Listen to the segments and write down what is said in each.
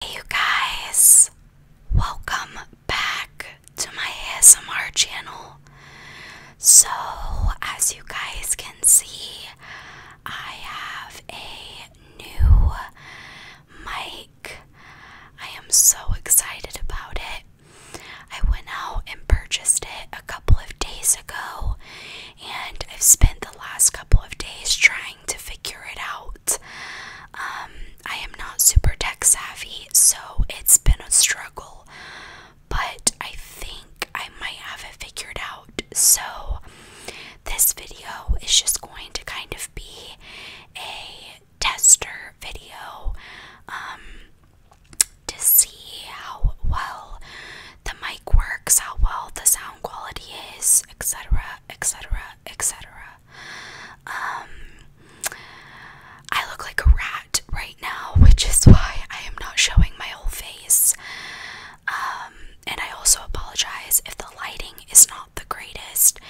Hey you guys, welcome back to my ASMR channel. So, as you guys can see, I have a new mic. I am so excited about it. I went out and purchased it a couple of days ago, and I've spent the last couple of days trying to figure it out. Um, I am not super tech savvy, so it's been a struggle, but I think I might have it figured out. So, this video is just going to kind of be a tester video um, to see how well the mic works, how well the sound quality is, etc., etc., etc. Um, I look like a rat right now, which is why I am not showing my whole face. Um, and I also apologize if the lighting is not the greatest.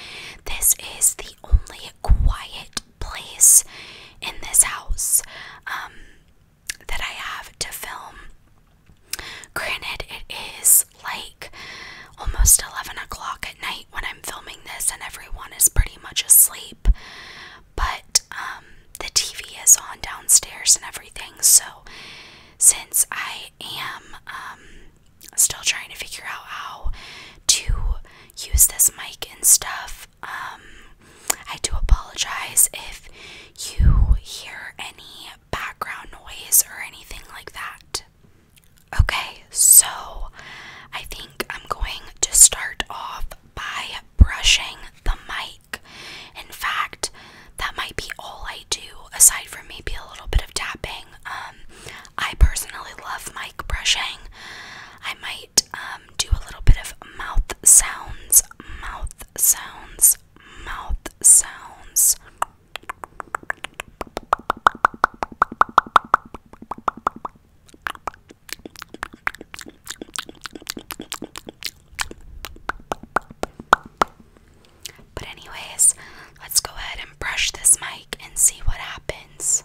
This is the only quiet place in this house um, that I have to film. Granted, it is like almost 11 o'clock at night when I'm filming this, and everyone is pretty much asleep. But um, the TV is on downstairs and everything, so since I am um, still trying to figure out how to use this mic and stuff, um, I do apologize if you hear any background noise or anything like that. Okay, so I think I'm going to start off by brushing the mic. In fact, that might be all I do aside from maybe a little bit of tapping. Um, I personally love mic brushing. I might um, do a little bit of mouth sounds, mouth sounds, mouth sounds. But, anyways, let's go ahead and brush this mic and see what happens.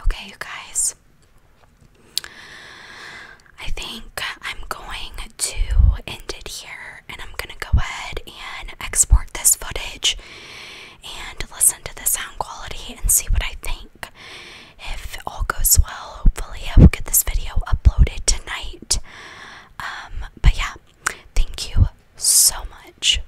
Okay, you guys. I think I'm going to end it here and I'm going to go ahead and export this footage and listen to the sound quality and see what I think. If it all goes well, hopefully I will get this video uploaded tonight. Um, but yeah, thank you so much